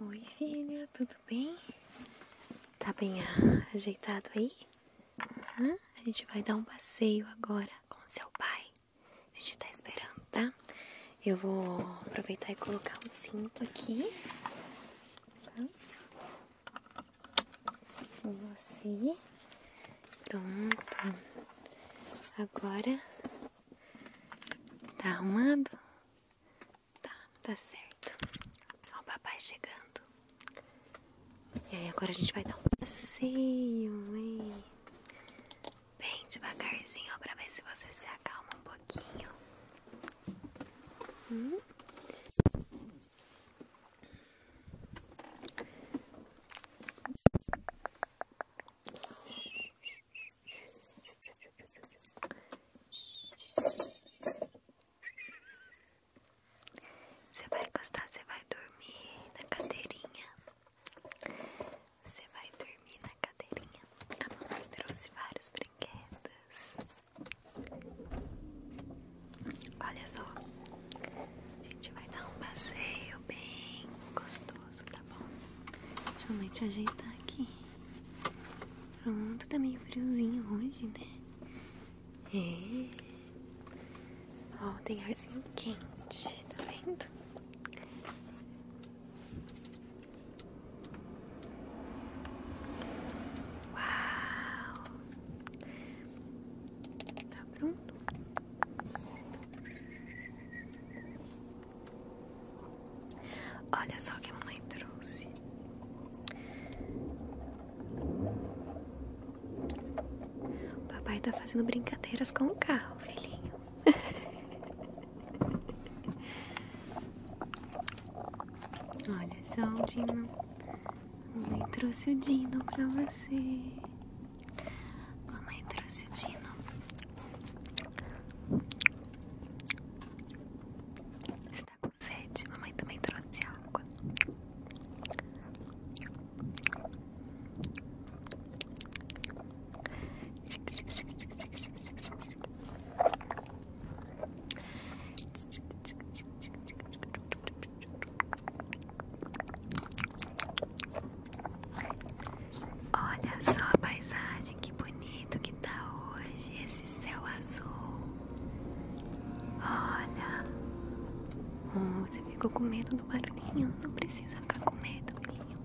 Oi, filha, tudo bem? Tá bem ajeitado aí? A gente vai dar um passeio agora com seu pai. A gente tá esperando, tá? Eu vou aproveitar e colocar o um cinto aqui. Tá? Com assim. Pronto. Agora Tá arrumando? Tá, tá certo. Ó, o papai chegando. E aí, agora a gente vai dar um passeio, hein? Bem devagarzinho, ó, pra ver se você se acalma um pouquinho. Hum? Você vai gostar, você vai dormir na cadeirinha. Você vai dormir na cadeirinha. A mamãe trouxe várias brinquedos. Olha só, a gente vai dar um passeio bem gostoso tá bom? Deixa eu te ajeitar aqui. Pronto, tá meio friozinho hoje, né? É. Ó, tem arzinho quente, tá vendo? Uau! Tá pronto? Olha só o que a mamãe trouxe. O papai tá fazendo brincadeiras com o carro, filhinho. Olha só o Dino. Mamãe trouxe o Dino pra você. Mamãe trouxe o Dino. Você tá com sede? Mamãe também trouxe água. Olha só a paisagem, que bonito que tá hoje esse céu azul. Olha, hum, você ficou com medo do barulhinho? Não precisa ficar com medo, filho.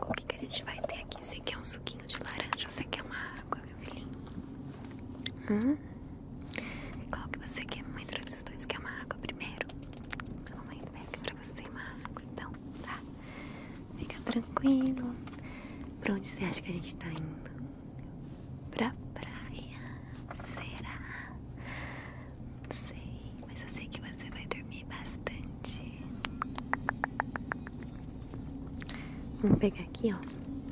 O que, que a gente vai ter aqui? Você quer um suquinho de laranja ou você quer uma água, meu filhinho? Hum? Qual que você quer? Mãe traz os dois. Quer uma água primeiro? Mãe, mamãe pega pra você uma água, então, tá? Fica tranquilo. Pra onde você acha que a gente tá indo? Pra praia. Será? Não sei, mas eu sei que você vai dormir bastante. Vamos pegar aqui, ó.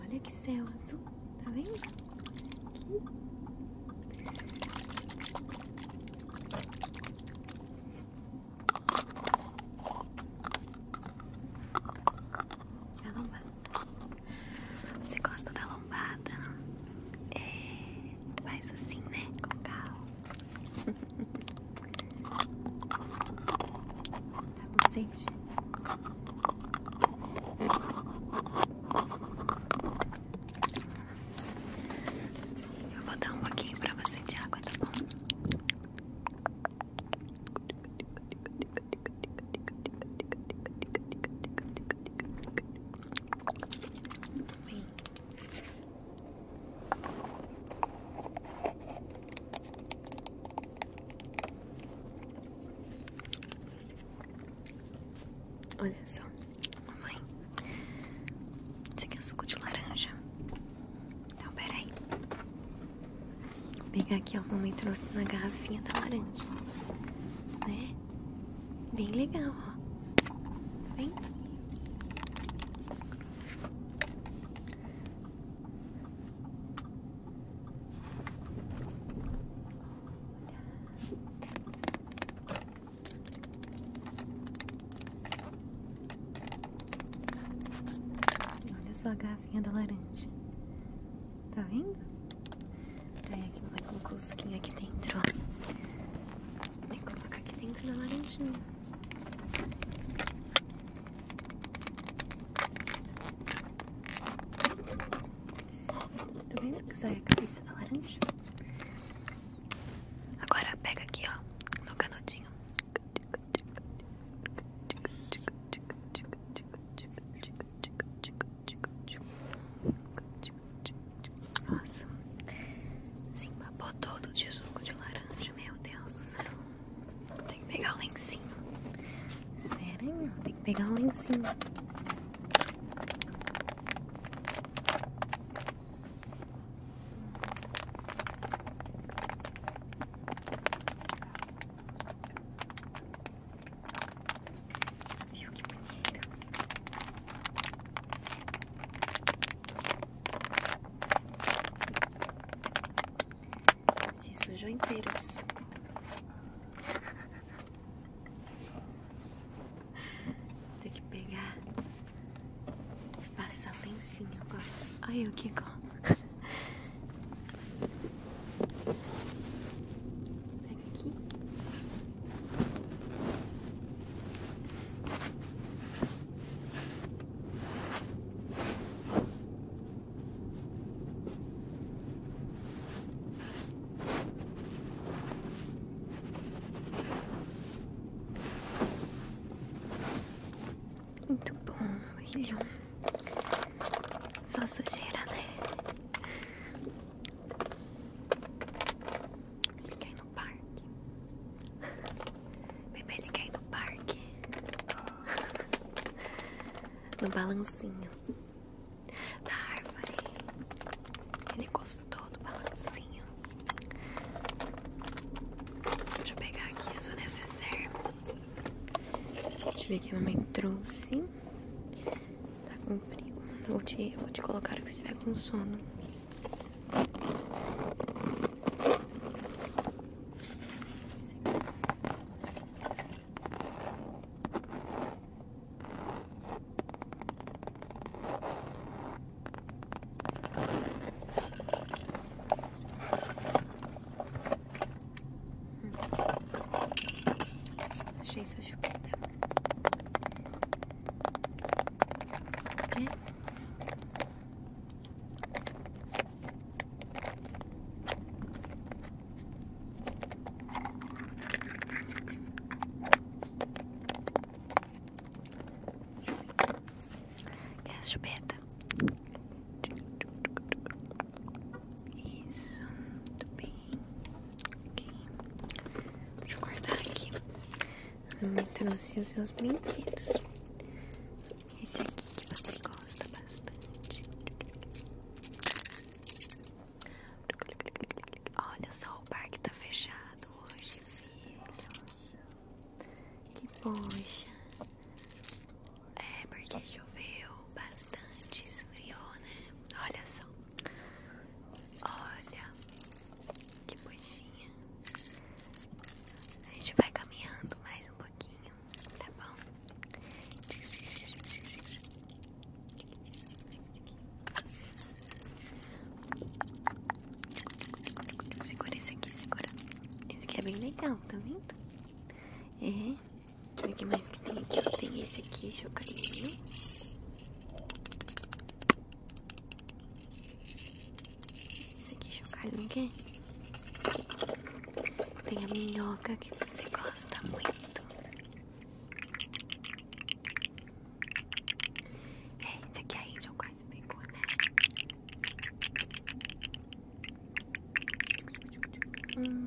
Olha que céu azul, tá vendo? Aqui. A lombada. Você gosta da lombada? É, faz assim, né? Com calma. Tá com Eu vou dar um pouquinho pra você de água, tá bom? Bem, Olha só, mamãe. Esse aqui é suco de laranja. Então, peraí. Vou pegar aqui, ó. Mamãe trouxe na garrafinha da laranja. Né? Bem legal, ó. Vem. Olha só a garrafinha da laranja. Tá vendo? Aí aqui vai colocar o suquinho aqui dentro, ó. colocar aqui dentro da laranjinha. Tá vendo que usar a cabeça da laranja? Agora pega aqui, ó, no canudinho. Nossa. Se assim, empapou todo de suco de laranja. Meu Deus do céu. Tem que pegar o lencinho. Espera aí, Tem que pegar o lencinho. Viu que bonito? Se sujou inteiro Tem que pegar e passar lencinho agora. Ai, o que gosto. Pega aqui. Muito bom, William. Só sujeira, né? Ele quer ir no parque. Bebê, ele quer ir no parque. No balancinho da árvore. Ele gostou do balancinho. Deixa eu pegar aqui isso necessário. Deixa eu ver que a mamãe trouxe. Tá comprido. frio. Vou te, vou te colocar que você estiver com sono. Achei sua chupeta. Tá essa E a chupeta? Isso, tudo bem. Ok, deixa eu cortar aqui. Ela trouxe os meus brinquedos. Esse aqui que você gosta bastante. Olha só, o parque tá fechado hoje, filho. Que poxa. É, porque choveu bastante, esfriou, né? Olha só. Olha, que coxinha. A gente vai caminhando mais um pouquinho, tá bom? Segura esse aqui, segura. Esse aqui é bem legal, tá vendo? É. Deixa o que mais que tem aqui. Tem esse aqui, chocadinho. Esse aqui chocado não quer? Tem a minhoca que você gosta muito. É, esse aqui aí chocado quase pegou, né? hum.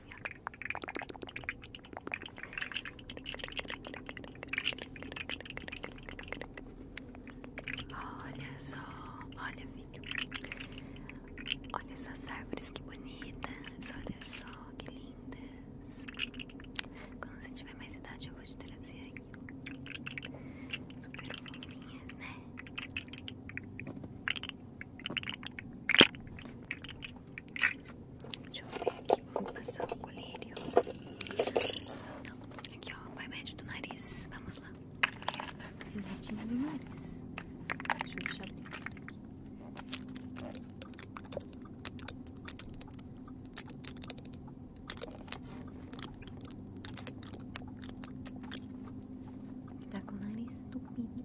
Olha só, olha filho, olha essas árvores que bonitas, olha só que lindas. Quando você tiver mais idade eu vou te trazer aí. Super fofinhas, né? Deixa eu ver aqui, vamos passar o colírio. Aqui ó, vai médio do nariz, vamos lá. O iPad do nariz. Deixa eu deixar limpo aqui. Tá com o nariz estupido.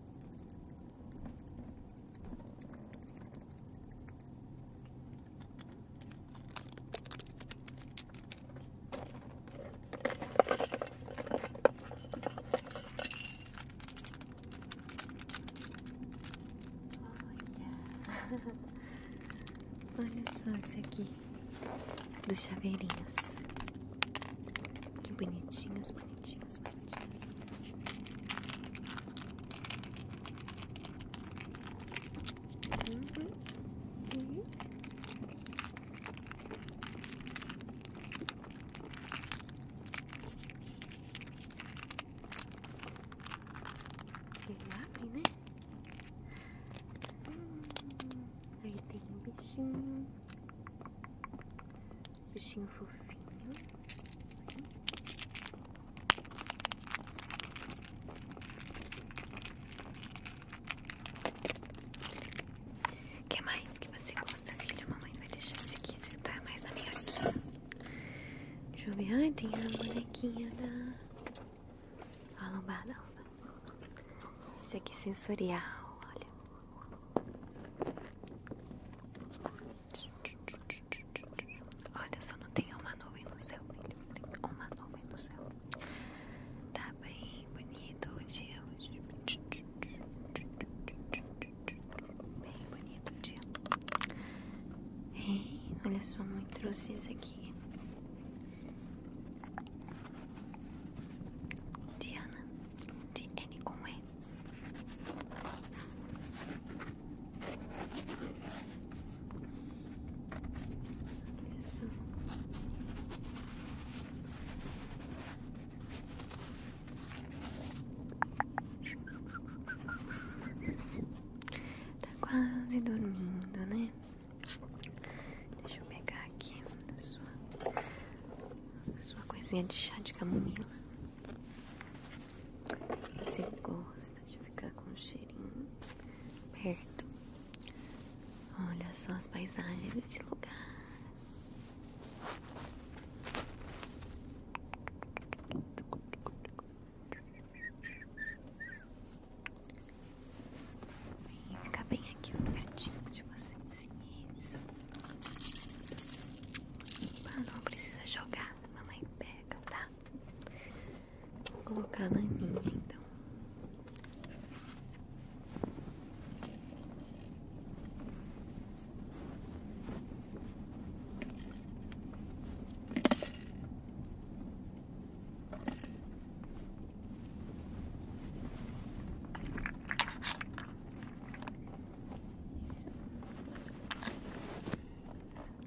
Olha só isso aqui dos chaveirinhos. Que bonitinhos, bonitinhos, bonitinhos. Ele abre, né? Hum, aí tem um bichinho. Bichinho fofinho. O que mais que você gosta, filho? Mamãe vai deixar se quiser, tá? Mais na minha aqui. Deixa eu ver. Ai, tem a bonequinha da... A lombada, a lombada. Esse aqui é sensorial, olha. Olha, só não tem uma nuvem no céu. Uma nuvem no céu. Tá bem bonito o dia hoje. Bem bonito o dia. olha só, mãe trouxe esse aqui. Diana de N com E. Tá quase dormindo, né? Deixa eu pegar aqui a sua, coisinha de chá de camomila. Você gosta de ficar com o cheirinho perto? Olha só as paisagens desse lugar. Vem ficar bem aqui um gatinho de vocês Sim, isso. não precisa jogar. Mamãe pega, tá? Vou colocar na minha então.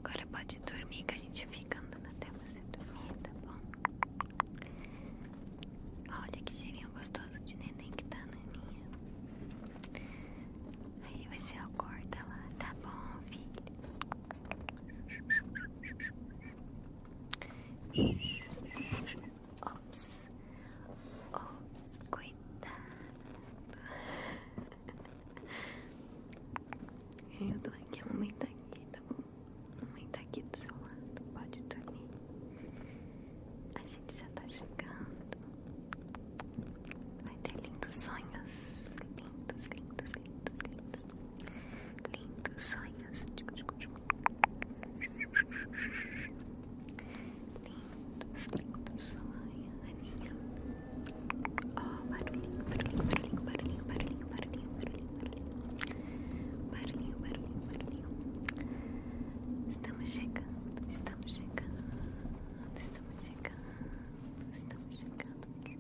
Agora pode dormir que a gente fica andando até você dormir, tá bom? Olha que cheirinho gostoso de neném que tá, naninha. Aí vai ser a corda lá, tá bom, filho? Ops, ops, cuidado. Eu tô aqui, a mamãe tá aqui, tá bom? A mamãe tá aqui do seu lado, pode dormir. A gente já tá chegando. Vai ter lindos sonhos. Lindos, lindos, lindos, lindos lindos sonhos lindos, lindos sonhos Aninha ó, oh, barulhinho, barulhinho, barulhinho, barulhinho, barulhinho, barulhinho barulhinho, barulhinho, barulhinho estamos chegando, estamos chegando estamos chegando, estamos chegando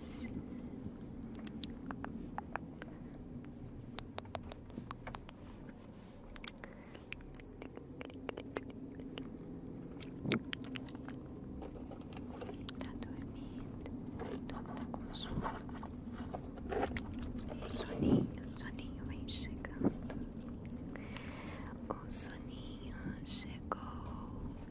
vezes. Tá dormindo, tá com sono. Soninho, soninho vem chegando. O soninho chegou.